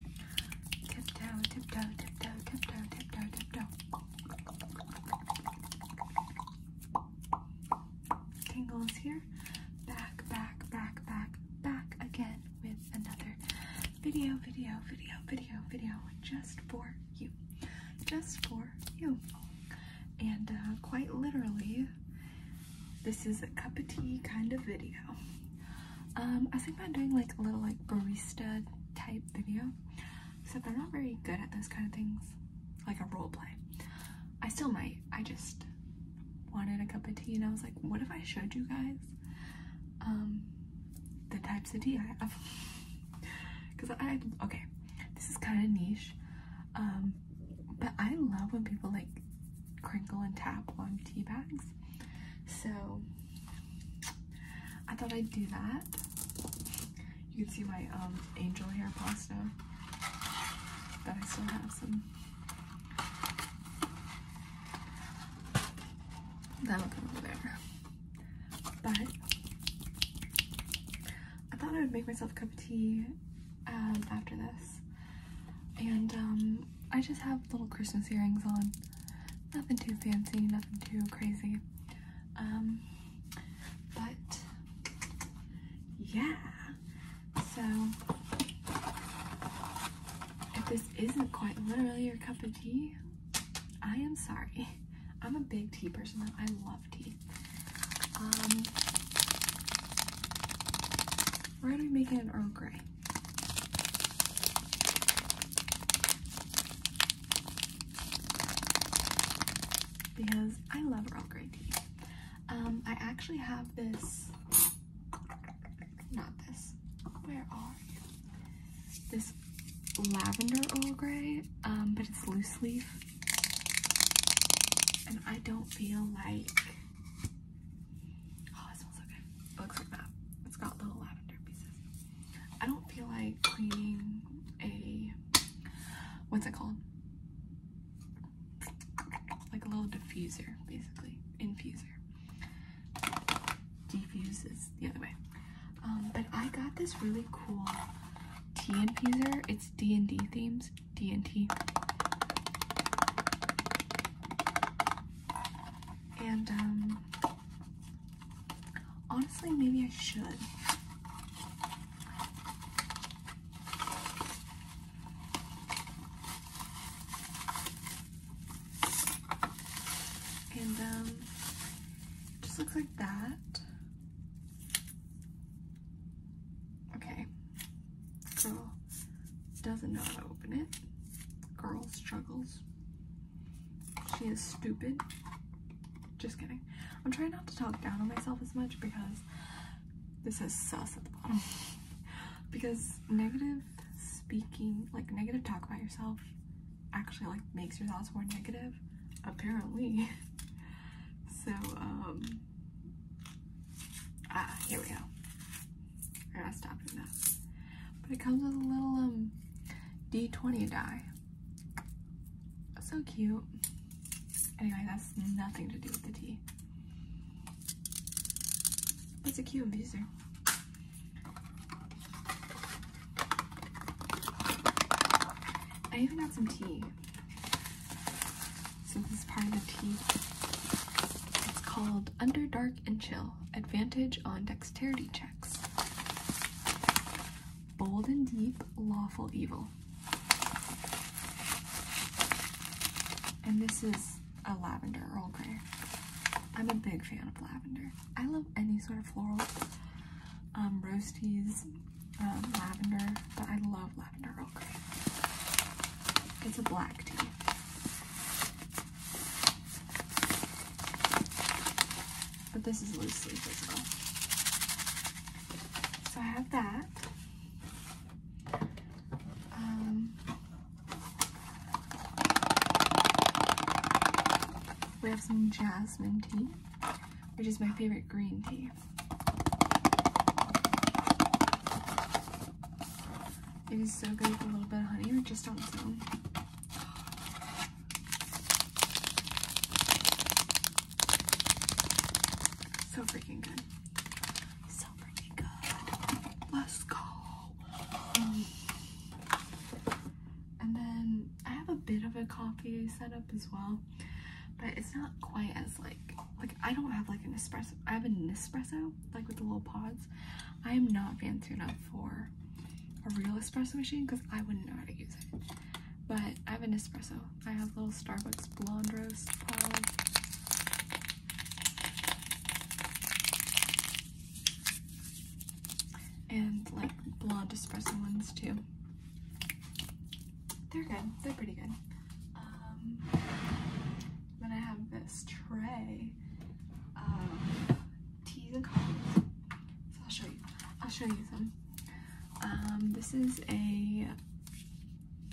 Tiptoe, tiptoe, tiptoe, tiptoe, tiptoe, tiptoe. Tingles here. Back, back, back, back, back again with another video, video, video, video, video just for you. Just for you. And uh, quite literally, this is a cup of tea kind of video. Um, I think thinking about doing like a little like barista type video, except I'm not very good at those kind of things, like a role play. I still might. I just wanted a cup of tea and I was like, what if I showed you guys um, the types of tea I have? Because I, okay, this is kind of niche, um, but I love when people like crinkle and tap on tea bags. So I thought I'd do that. You can see my um, angel hair pasta but I still have some. That'll come over there. But I thought I would make myself a cup of tea um, after this. And um, I just have little Christmas earrings on. Nothing too fancy, nothing too crazy. Um, but yeah, so if this isn't quite literally your cup of tea, I am sorry. I'm a big tea person I love tea. Um, we're gonna making an Earl Grey because I love Earl Grey tea. Um, I actually have this, not this, where are you? This lavender Earl Grey, um, but it's loose leaf. And I don't feel like it oh, smells good. looks like that. It's got little lavender pieces. I don't feel like cleaning a what's it called? Like a little diffuser, basically. Infuser. Diffuses the other way. Um, but I got this really cool tea infuser. It's D&D themes. DNT. And um honestly maybe I should. And um just looks like that. Okay. Girl doesn't know how to open it. Girl struggles. She is stupid. Just kidding. I'm trying not to talk down on myself as much because this is sauce at the bottom. because negative speaking, like negative talk about yourself actually like makes your thoughts more negative, apparently. so, um, Ah, here we go. i are gonna stop that. But it comes with a little um, D20 die. So cute. Anyway, that's nothing to do with the tea. That's a cute infuser. I even got some tea. So this is part of the tea. It's called Under Dark and Chill. Advantage on dexterity checks. Bold and deep, lawful evil. And this is a lavender Earl Grey. I'm a big fan of lavender. I love any sort of floral, um, roasties, um, lavender, but I love lavender it's a black tea. But this is loosely physical. So I have that. Um, we have some jasmine tea, which is my favorite green tea. It is so good with a little bit of honey or just on its own. So freaking good. So freaking good. Let's go. and then I have a bit of a coffee setup as well but it's not quite as like like I don't have like an espresso. I have an espresso like with the little pods. I am not fancy enough for a real espresso machine because I wouldn't know how to use it. But I have an espresso. I have little Starbucks blonde roast pods. And like blonde espresso ones too. They're good. They're pretty good. Um, then I have this tray of teas and coffees. So I'll show you. I'll show you some. Um, this is a.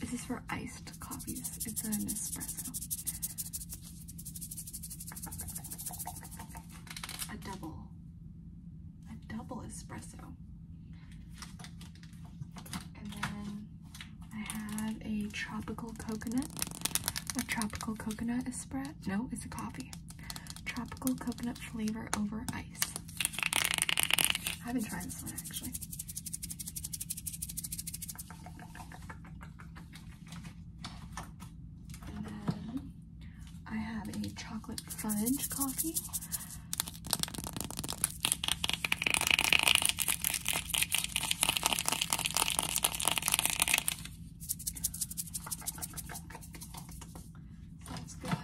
This is for iced coffees. It's an espresso. A double. A double espresso. And then I have a tropical coconut. A tropical coconut espresso. No, it's a coffee. Tropical coconut flavor over ice. I haven't tried this one actually. And then I have a chocolate fudge coffee. That's good.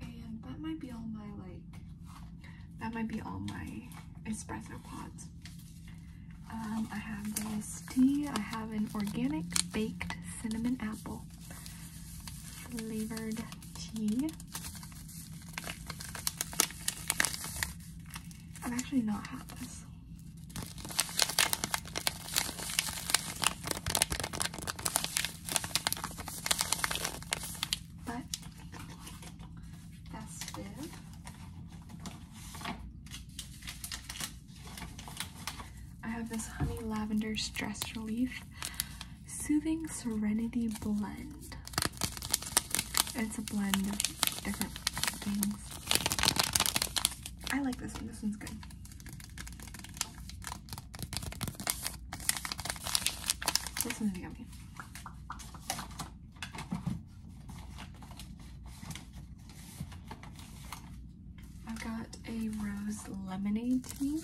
And that might be all my like that might be all my espresso pods. Um, I have this tea. I have an organic baked cinnamon apple flavored tea. I've actually not had this. But festive. I have this honey lavender stress relief. Soothing Serenity Blend. It's a blend of different things. I like this one. This one's good. This one's yummy. I have got a rose lemonade tea.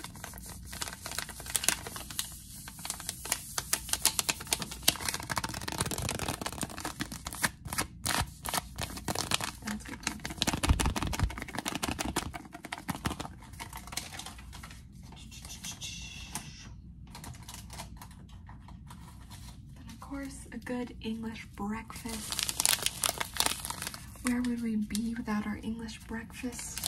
That's of course, a good English breakfast. Where would we be without our English breakfast?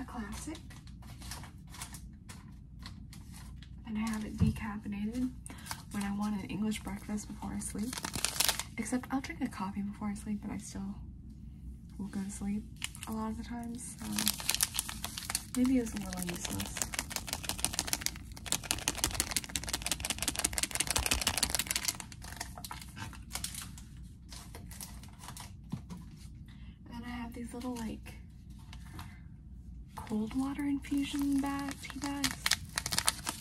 A classic. And I have it decaffeinated when I want an English breakfast before I sleep. Except I'll drink a coffee before I sleep, and I still we will go to sleep a lot of the times, maybe it's a little useless. And then I have these little like cold water infusion bag tea bags.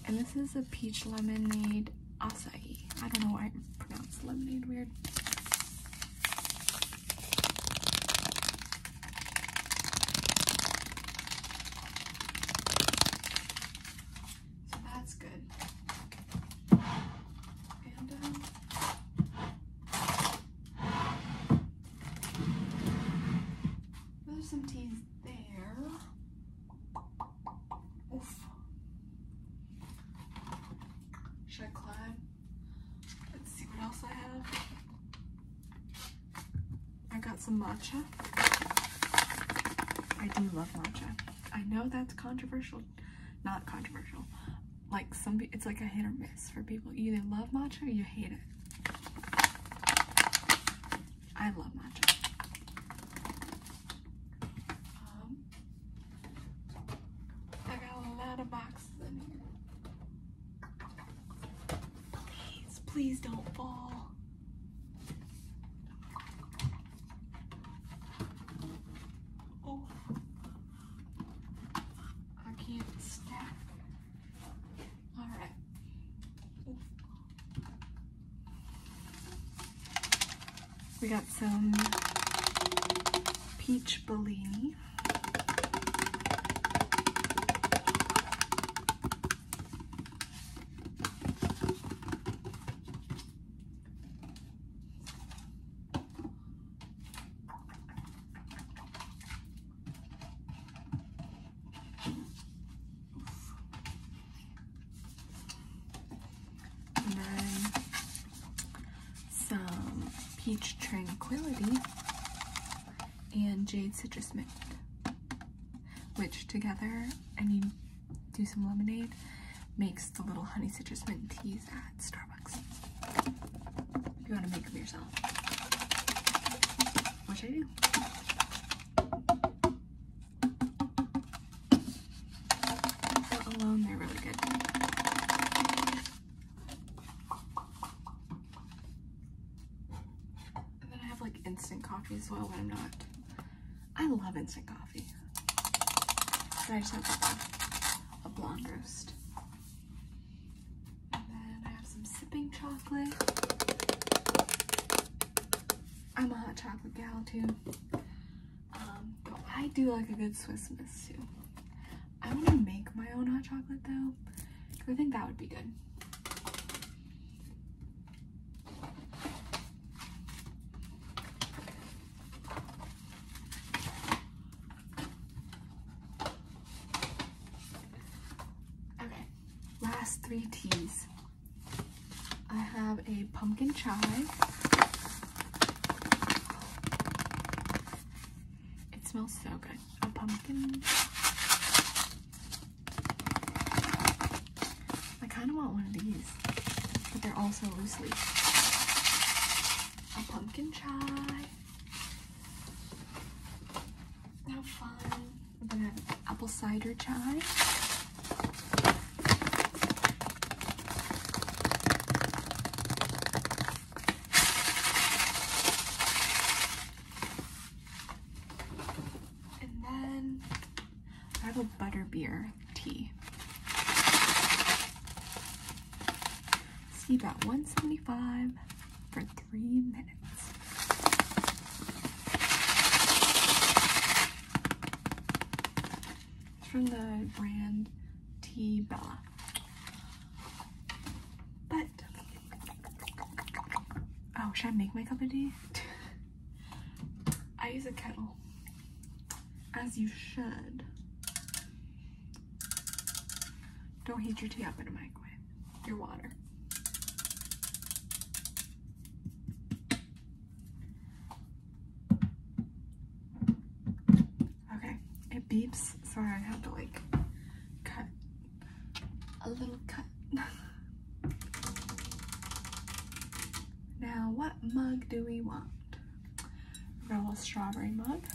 And this is a peach lemonade acai. I don't know why I pronounce lemonade weird. So that's good. And um, those are some teas there. Should I climb? Let's see what else I have. I got some matcha. I do love matcha. I know that's controversial. Not controversial. Like some, it's like a hit or miss for people. You either love matcha or you hate it. I love matcha. Um, I got a lot of boxes in here. Please, please don't fall. Oh, I can't stack. All right. We got some peach Bellini. And then some Peach Tranquility and Jade Citrus Mint, which together, I mean, do some lemonade, makes the little honey citrus mint teas at Starbucks. you want to make them yourself, What should I do alone, they're really good. And then I have like instant coffee as well when I'm not. I love instant coffee. But I just have a, a blonde roast. And then I have some sipping chocolate. I'm a hot chocolate gal too. Um, I do like a good Swiss Miss too. I want to make my own hot chocolate though. I think that would be good. Okay, last three teas. I have a pumpkin chai. It smells so good. A pumpkin. I kind of want one of these, but they're also loosely A pumpkin chai. How fun we apple cider chai. And then I have a butterbeer tea. See about 175 for three minutes. It's from the brand Tea Bella. But oh, should I make my cup of tea? I use a kettle, as you should. Don't heat your tea up in a microwave your water. Okay, it beeps, Sorry, I have to like cut a little cut. now, what mug do we want? Roll strawberry mug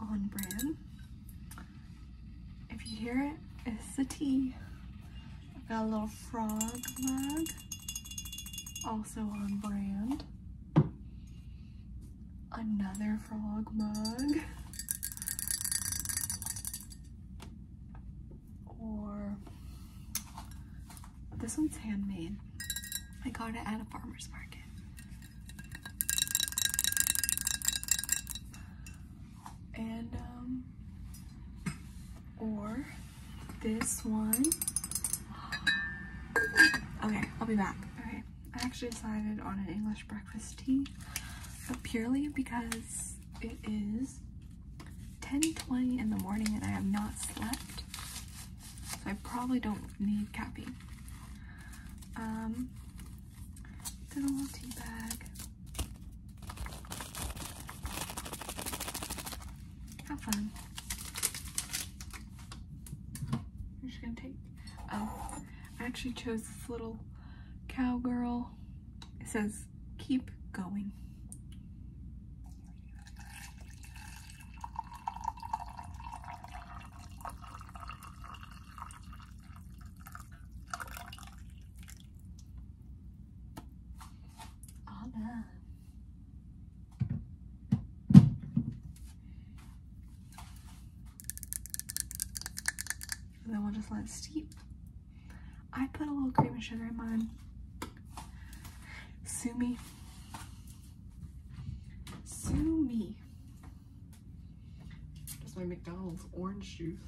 on brim. If you hear it, it's the T. have got a little frog mug, also on brand. Another frog mug. Or this one's handmade. I got it at a farmer's market and um, or this one. Okay, I'll be back. Okay, I actually decided on an English breakfast tea, but purely because it is 10:20 in the morning and I have not slept, so I probably don't need caffeine. Um, little tea bag. How fun. I'm just gonna take, oh, I actually chose this little cowgirl. It says, keep going. All And then we'll just let it steep. I put a little cream and sugar in mine. Sue me. Sue me. That's my McDonald's orange juice.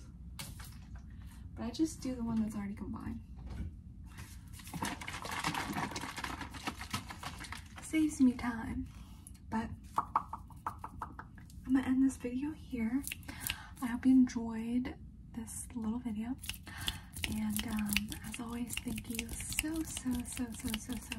But I just do the one that's already combined. Saves me time. But I'm gonna end this video here. I hope you enjoyed this little video. And um, as always, thank you so, so, so, so, so, so